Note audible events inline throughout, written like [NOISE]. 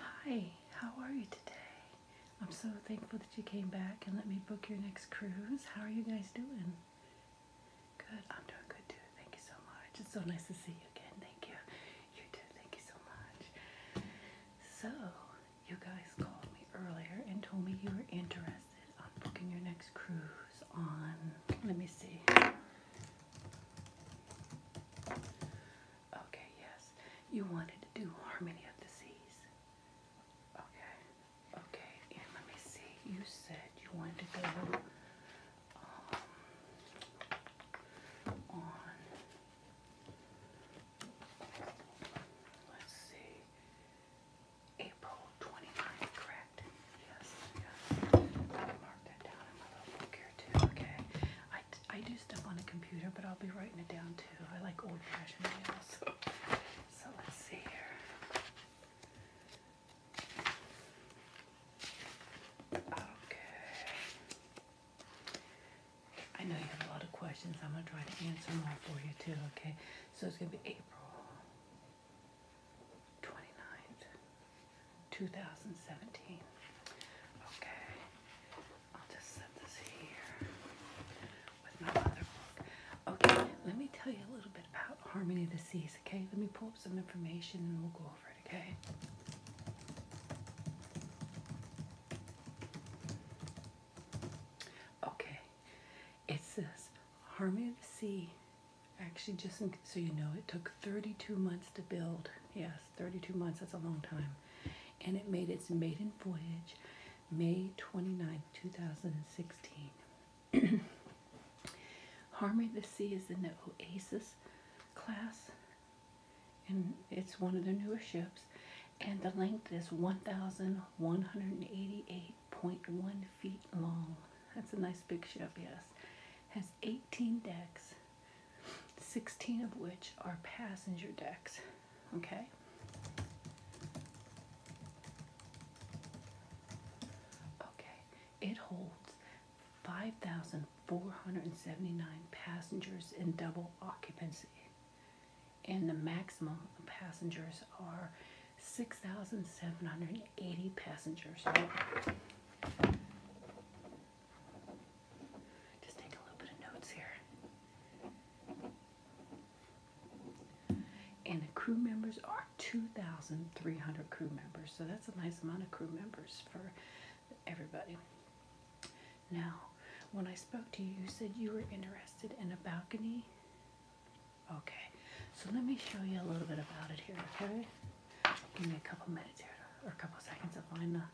Hi, how are you today? I'm so thankful that you came back and let me book your next cruise. How are you guys doing? Good, I'm doing good too. Thank you so much. It's so nice to see you again. Thank you. You too. Thank you so much. So, you guys called me earlier and told me you were interested on booking your next cruise on, let me see. Okay, yes. You wanted to do Harmony of the Seas. Okay. Okay, and let me see. You said you wanted to go um, on. Let's see. April 29th, correct? Yes, yes. mark that down in my little book here too. Okay. I do stuff on a computer, but I'll be writing it down too. I like old fashioned nails. So. [LAUGHS] so let's see here. Okay. I know you have a lot of questions. I'm going to try to answer them for you too, okay? So it's going to be April 29th, 2017. Okay. I'll just set this here with my other book. Okay, let me tell you a little bit about Harmony of the Seas, okay? Let me pull up some information and we'll go over it, okay? Okay, it says Harmony of the Sea. Actually, just so you know, it took 32 months to build. Yes, 32 months, that's a long time. And it made its maiden voyage May 29, 2016. [CLEARS THROAT] Harmony the Sea is in the Oasis class, and it's one of the newer ships. And the length is 1,188.1 feet long. That's a nice big ship, yes. Has 18 decks 16 of which are passenger decks. Okay? Okay, it holds 5,479 passengers in double occupancy, and the maximum passengers are 6,780 passengers. Just take a little bit of notes here. And the crew members are 2,300 crew members, so that's a nice amount of crew members for everybody. Now, when I spoke to you, you said you were interested in a balcony. Okay, so let me show you a little bit about it here, okay? Give me a couple minutes here, or a couple seconds to find the uh,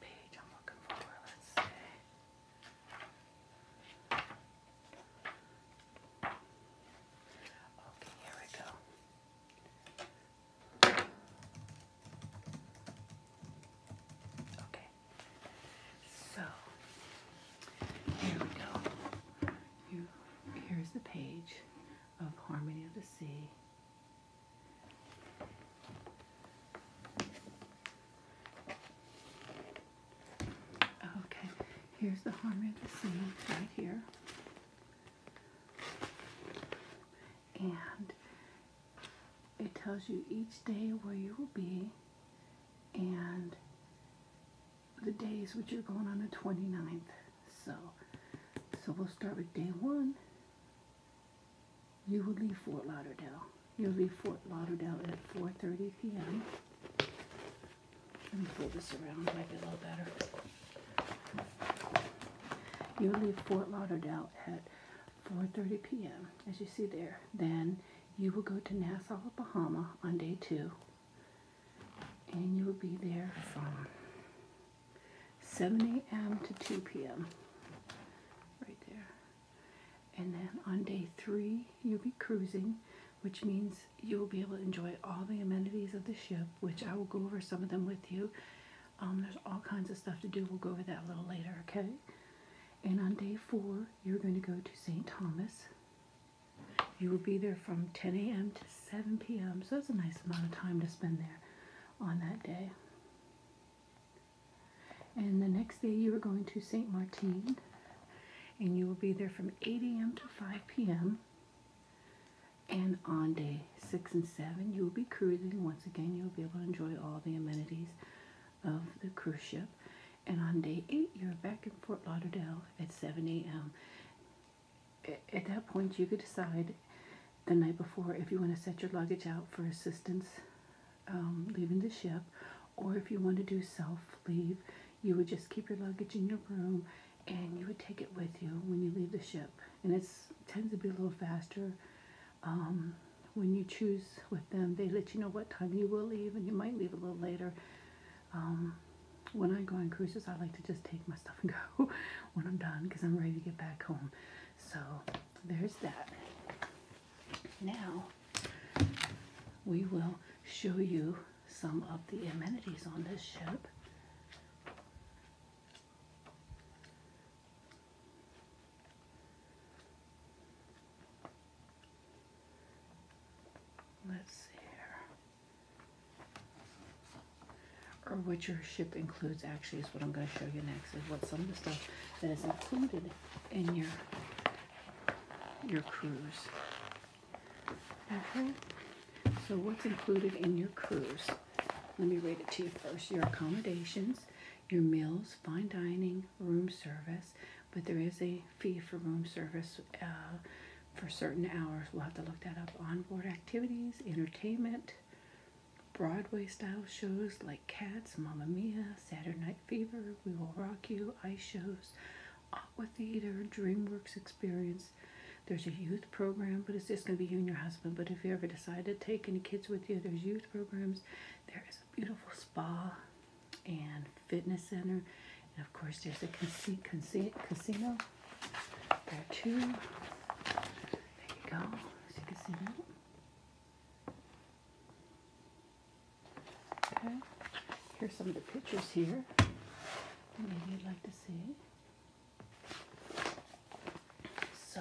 page I'm looking for. Let's see. Okay, here we go. Okay. So here we go. here's the page of Harmony of the Sea Okay, here's the harmony of the singing right here. And it tells you each day where you will be and the days which you're going on the 29th. So, so we'll start with day one you will leave Fort Lauderdale. You'll leave Fort Lauderdale at 4.30 p.m. Let me pull this around, might be a little better. You'll leave Fort Lauderdale at 4.30 p.m., as you see there. Then you will go to Nassau, Bahama on day two, and you will be there from 7 a.m. to 2 p.m. right there. And then on day three, you'll be cruising, which means you'll be able to enjoy all the amenities of the ship, which I will go over some of them with you. Um, there's all kinds of stuff to do. We'll go over that a little later, okay? And on day four, you're going to go to St. Thomas. You will be there from 10 a.m. to 7 p.m., so that's a nice amount of time to spend there on that day. And the next day you are going to St. Martin and you will be there from 8 a.m. to 5 p.m. And on day 6 and 7 you will be cruising. Once again you'll be able to enjoy all the amenities of the cruise ship. And on day 8 you're back in Fort Lauderdale at 7 a.m. At that point you could decide the night before if you want to set your luggage out for assistance um, leaving the ship, or if you want to do self leave, you would just keep your luggage in your room and you would take it with you when you leave the ship. And it tends to be a little faster. Um, when you choose with them, they let you know what time you will leave, and you might leave a little later. Um, when I go on cruises, I like to just take my stuff and [LAUGHS] go when I'm done because I'm ready to get back home. So there's that. Now we will show you some of the amenities on this ship. Let's see here or what your ship includes actually is what I'm going to show you next is what some of the stuff that is included in your your cruise. Okay. Mm-hmm. So what's included in your cruise? Let me read it to you first. Your accommodations, your meals, fine dining, room service, but there is a fee for room service uh, for certain hours. We'll have to look that up. Onboard activities, entertainment, Broadway style shows like Cats, Mamma Mia, Saturday Night Fever, We Will Rock You, Ice Shows, Aqua Theater, DreamWorks Experience. There's a youth program, but it's just going to be you and your husband. But if you ever decide to take any kids with you, there's youth programs. There is a beautiful spa and fitness center. And of course, there's a casino. There are two. There you go, as you can see Okay, here's some of the pictures here maybe you'd like to see. So,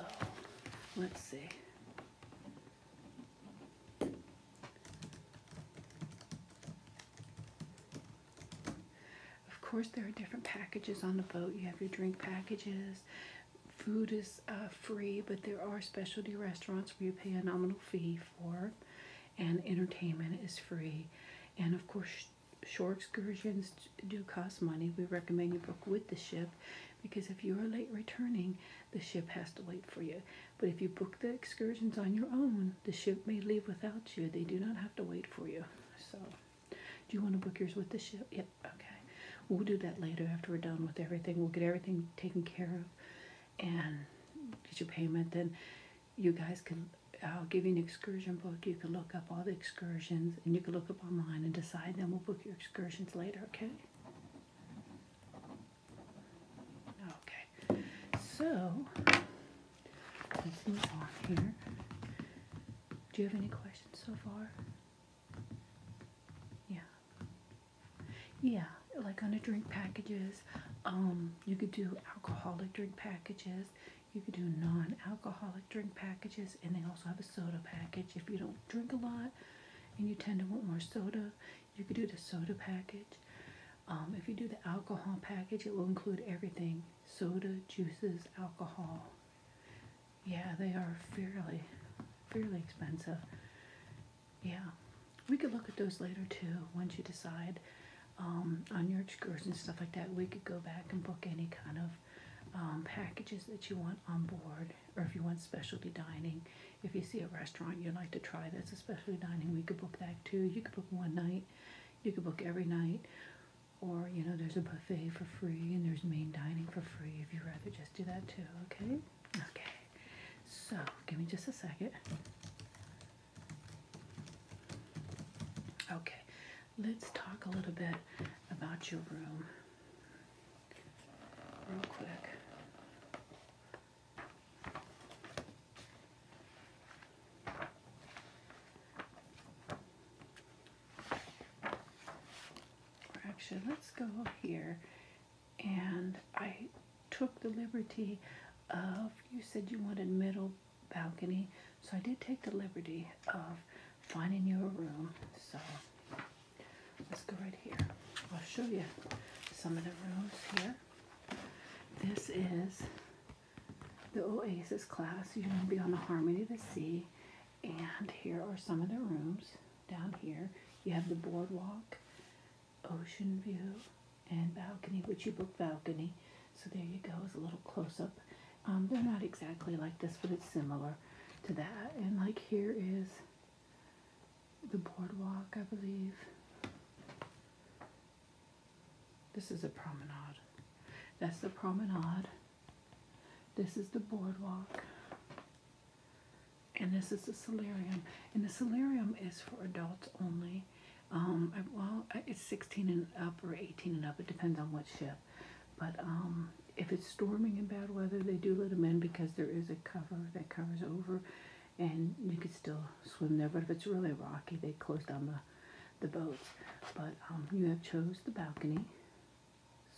let's see. Of course, there are different packages on the boat. You have your drink packages, Food is uh, free, but there are specialty restaurants where you pay a nominal fee for, and entertainment is free. And of course, shore excursions do cost money. We recommend you book with the ship because if you are late returning, the ship has to wait for you. But if you book the excursions on your own, the ship may leave without you. They do not have to wait for you. So. Do you want to book yours with the ship? Yep, okay. We'll do that later after we're done with everything. We'll get everything taken care of and get your payment. Then you guys can, I'll give you an excursion book. You can look up all the excursions and you can look up online and decide. Then we'll book your excursions later, okay? Okay. So, let's move on here. Do you have any questions so far? Yeah. Yeah, like on the drink packages, um, you could do alcoholic drink packages. You could do non-alcoholic drink packages, and they also have a soda package. If you don't drink a lot and you tend to want more soda, you could do the soda package. Um, if you do the alcohol package, it will include everything. Soda, juices, alcohol, yeah, they are fairly, fairly expensive. Yeah, we could look at those later too once you decide um, on your excursions and stuff like that. We could go back and book any kind of um, packages that you want on board, or if you want specialty dining. If you see a restaurant you'd like to try that's a specialty dining, we could book that too. You could book one night, you could book every night or you know there's a buffet for free and there's main dining for free if you'd rather just do that too okay okay so give me just a second okay let's talk a little bit about your room real quick actually, let's go here. And I took the liberty of, you said you wanted middle balcony. So I did take the liberty of finding you a room. So let's go right here. I'll show you some of the rooms here. This is the Oasis class. You're going to be on the Harmony of the Sea. And here are some of the rooms down here. You have the boardwalk, ocean view, and balcony, which you book balcony. So there you go, is a little close up. Um, they're not exactly like this, but it's similar to that. And like here is the boardwalk, I believe. This is a promenade. That's the promenade. This is the boardwalk. And this is the solarium. And the solarium is for adults only. Um, well, it's 16 and up or 18 and up. It depends on what ship. But um, if it's storming and bad weather, they do let them in because there is a cover that covers over. And you can still swim there. But if it's really rocky, they close down the, the boats. But um, you have chose the balcony.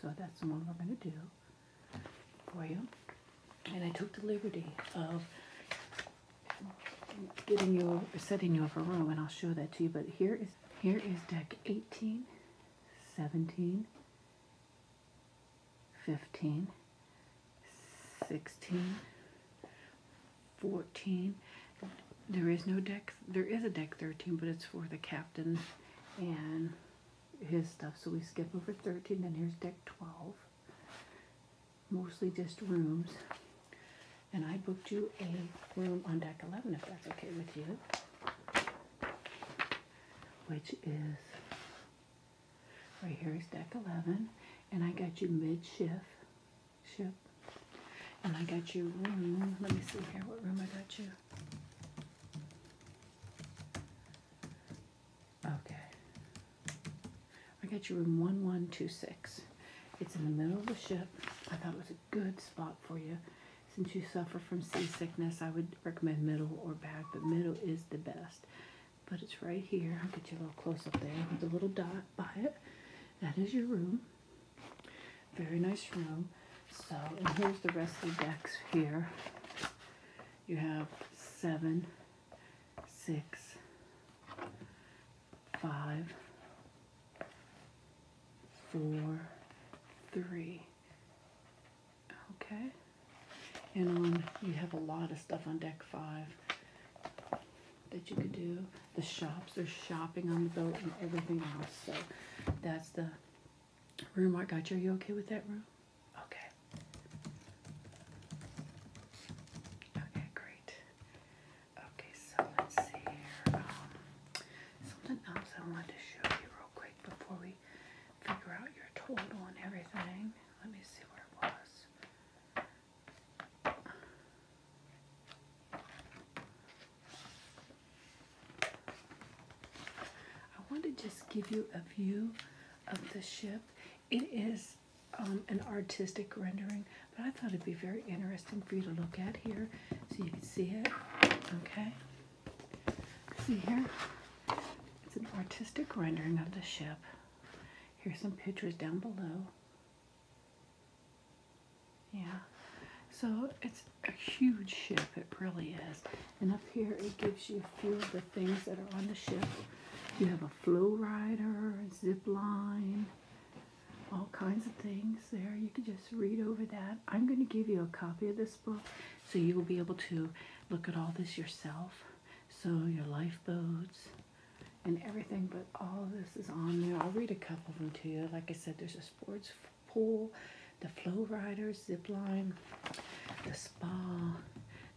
So that's the one we're going to do for you. And I took the liberty of setting you up a room and I'll show that to you but here is here is deck 18 17 15 16 14 there is no deck. There is a deck 13, but it's for the captain and his stuff. So we skip over 13. Then here's deck 12. Mostly just rooms. And I booked you a room on deck 11 if that's okay with you. Which is right here is deck 11. And I got you mid shift. Ship. And I got you room. Let me see here. What room I got you? Okay. I got you room 1126. It's in the middle of the ship. I thought it was a good spot for you. Since you suffer from seasickness, I would recommend middle or back, but middle is the best. But it's right here. I'll get you a little close up there with a little dot by it. That is your room. Very nice room. So, and here's the rest of the decks here. You have seven, six, five, four, three. Okay. And on, you have a lot of stuff on deck five that you could do. The shops are shopping on the boat and everything else. So that's the room I got you. Are you okay with that room? Okay. Okay, great. Okay, so let's see here. Um, something else I wanted to show you real quick before we figure out your total and everything. Let me see where it was. I want to just give you a view of the ship. It is um, an artistic rendering, but I thought it'd be very interesting for you to look at here so you can see it. Okay? See here? It's an artistic rendering of the ship. Here's some pictures down below. Yeah. So it's a huge ship, it really is. And up here it gives you a few of the things that are on the ship. You have a flow rider, zip line, all kinds of things there. You can just read over that. I'm going to give you a copy of this book so you will be able to look at all this yourself. So your lifeboats and everything, but all this is on there. I'll read a couple of them to you. Like I said, there's a sports pool, the flow riders, zip line, the spa,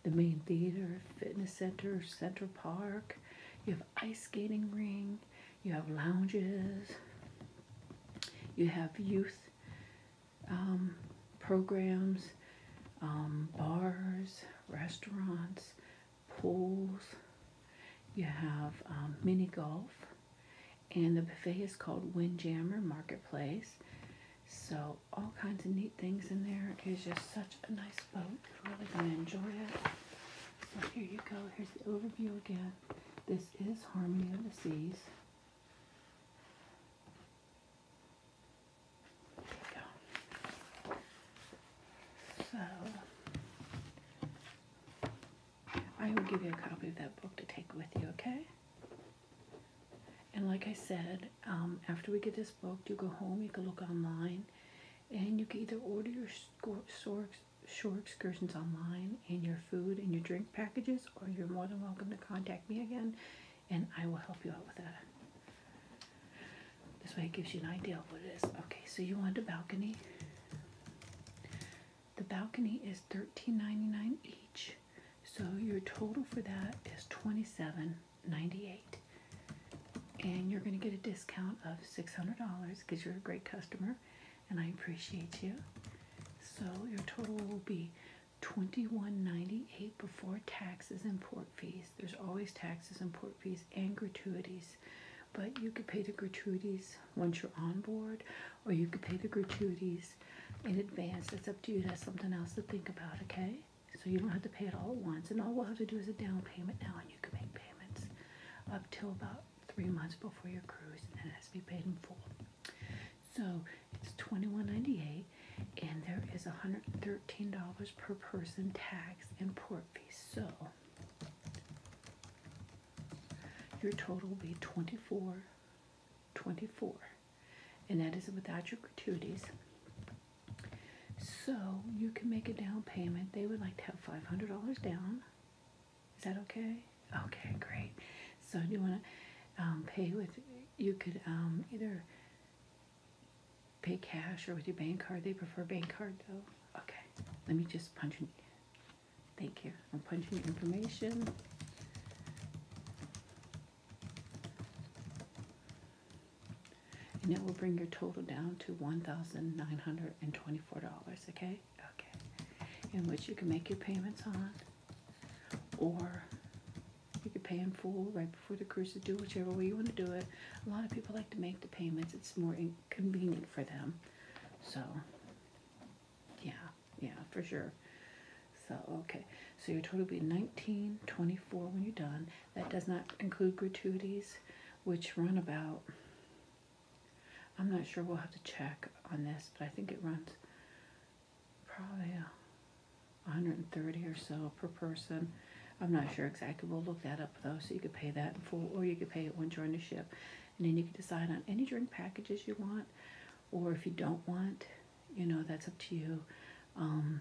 the main theater, fitness center, Central Park. You have ice skating ring. You have lounges. You have youth um, programs, um, bars, restaurants, pools. You have um, mini golf. And the buffet is called Windjammer Marketplace. So all kinds of neat things in there. It's just such a nice boat. You're really going to enjoy it. So here you go. Here's the overview again. This is Harmony of the Seas. There you go. So I will give you a copy of that book to take with you, okay? And like I said, um, after we get this book, you go home, you can look online, and you can either order your shore, shore excursions online and your food and your drink packages, or you're more than welcome to contact me again, and I will help you out with that. This way it gives you an idea of what it is. Okay, so you want a balcony. The balcony is thirteen ninety nine dollars each, so your total for thats seven ninety eight, is And you're going to get a discount of $600 because you're a great customer and I appreciate you. So your total will be twenty one ninety eight dollars before taxes and port fees. There's always taxes and port fees and gratuities, but you could pay the gratuities once you're on board or you could pay the gratuities in advance. That's up to you. That's something else to think about, okay? So you don't have to pay it all at once. And all we'll have to do is a down payment now, and you can make payments up till about three months before your cruise, and then it has to be paid in full. So it's $21.98, and there is $113 per person tax and port fees. So your total will be 24 24 and that is without your gratuities so you can make a down payment they would like to have $500 down is that okay okay great so do you want to um, pay with you could um, either pay cash or with your bank card they prefer bank card though okay let me just punch Thank you. I'm punching information. And it will bring your total down to $1,924, okay? Okay. In which you can make your payments on, or you can pay in full right before the cruise is due, whichever way you want to do it. A lot of people like to make the payments. It's more inconvenient for them. So yeah, yeah, for sure. So, okay. So your total will be 1924 when you're done. That does not include gratuities, which run about, I'm not sure, we'll have to check on this, but I think it runs probably 130 or so per person. I'm not sure exactly. We'll look that up though. So you could pay that in full or you could pay it when joining the ship and then you can decide on any drink packages you want or if you don't want you know that's up to you um,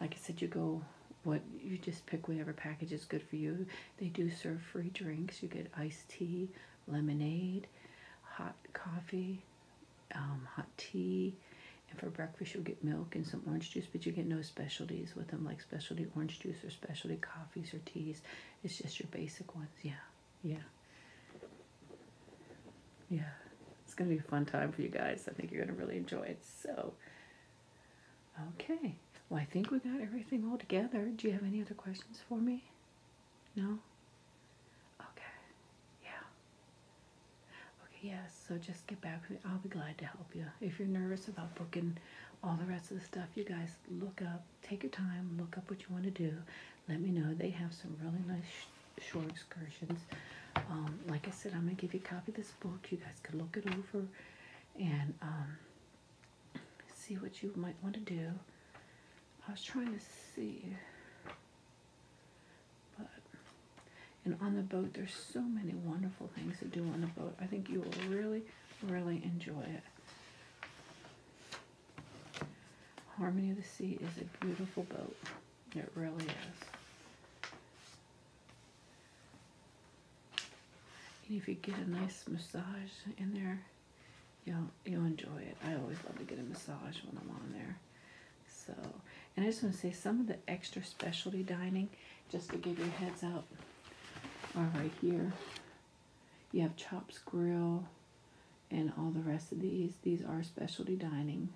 like i said you go what you just pick whatever package is good for you they do serve free drinks you get iced tea lemonade hot coffee um, hot tea and for breakfast you'll get milk and some orange juice but you get no specialties with them like specialty orange juice or specialty coffees or teas it's just your basic ones. Yeah, yeah. Yeah, it's going to be a fun time for you guys. I think you're going to really enjoy it. So, okay. Well, I think we got everything all together. Do you have any other questions for me? No? Okay. Yeah. Okay, yeah, so just get back I'll be glad to help you. If you're nervous about booking all the rest of the stuff, you guys look up, take your time, look up what you want to do. Let me know. They have some really nice short excursions. Um, like I said, I'm going to give you a copy of this book. You guys can look it over and um, see what you might want to do. I was trying to see. But, and on the boat, there's so many wonderful things to do on the boat. I think you will really, really enjoy it. Harmony of the Sea is a beautiful boat. It really is. And if you get a nice massage in there, you'll, you'll enjoy it. I always love to get a massage when I'm on there. So, and I just want to say some of the extra specialty dining, just to give you heads up, are right here. You have Chops Grill and all the rest of these. These are specialty dining.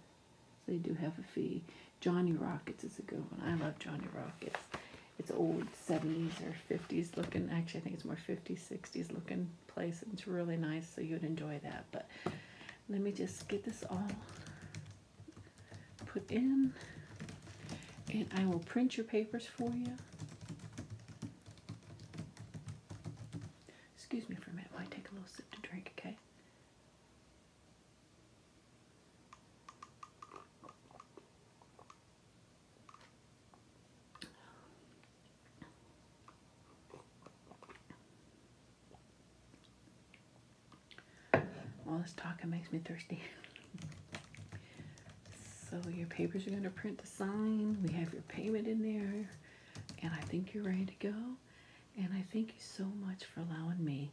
So they do have a fee. Johnny Rockets is a good one. I love Johnny Rockets. It's old 70s or 50s looking. Actually, I think it's more 50s, 60s looking place. It's really nice, so you'd enjoy that. But let me just get this all put in. And I will print your papers for you. Excuse me for a minute while I take a little sip to drink, okay? All this talking makes me thirsty. [LAUGHS] So your papers are going to print the sign. We have your payment in there. And I think you're ready to go. And I thank you so much for allowing me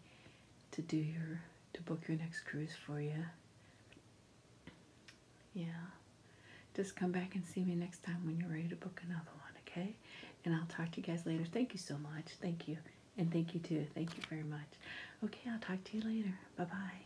to do your to book your next cruise for you. Yeah. Just come back and see me next time when you're ready to book another one, okay? And I'll talk to you guys later. Thank you so much. Thank you. And thank you too. Thank you very much. Okay, I'll talk to you later. Bye-bye.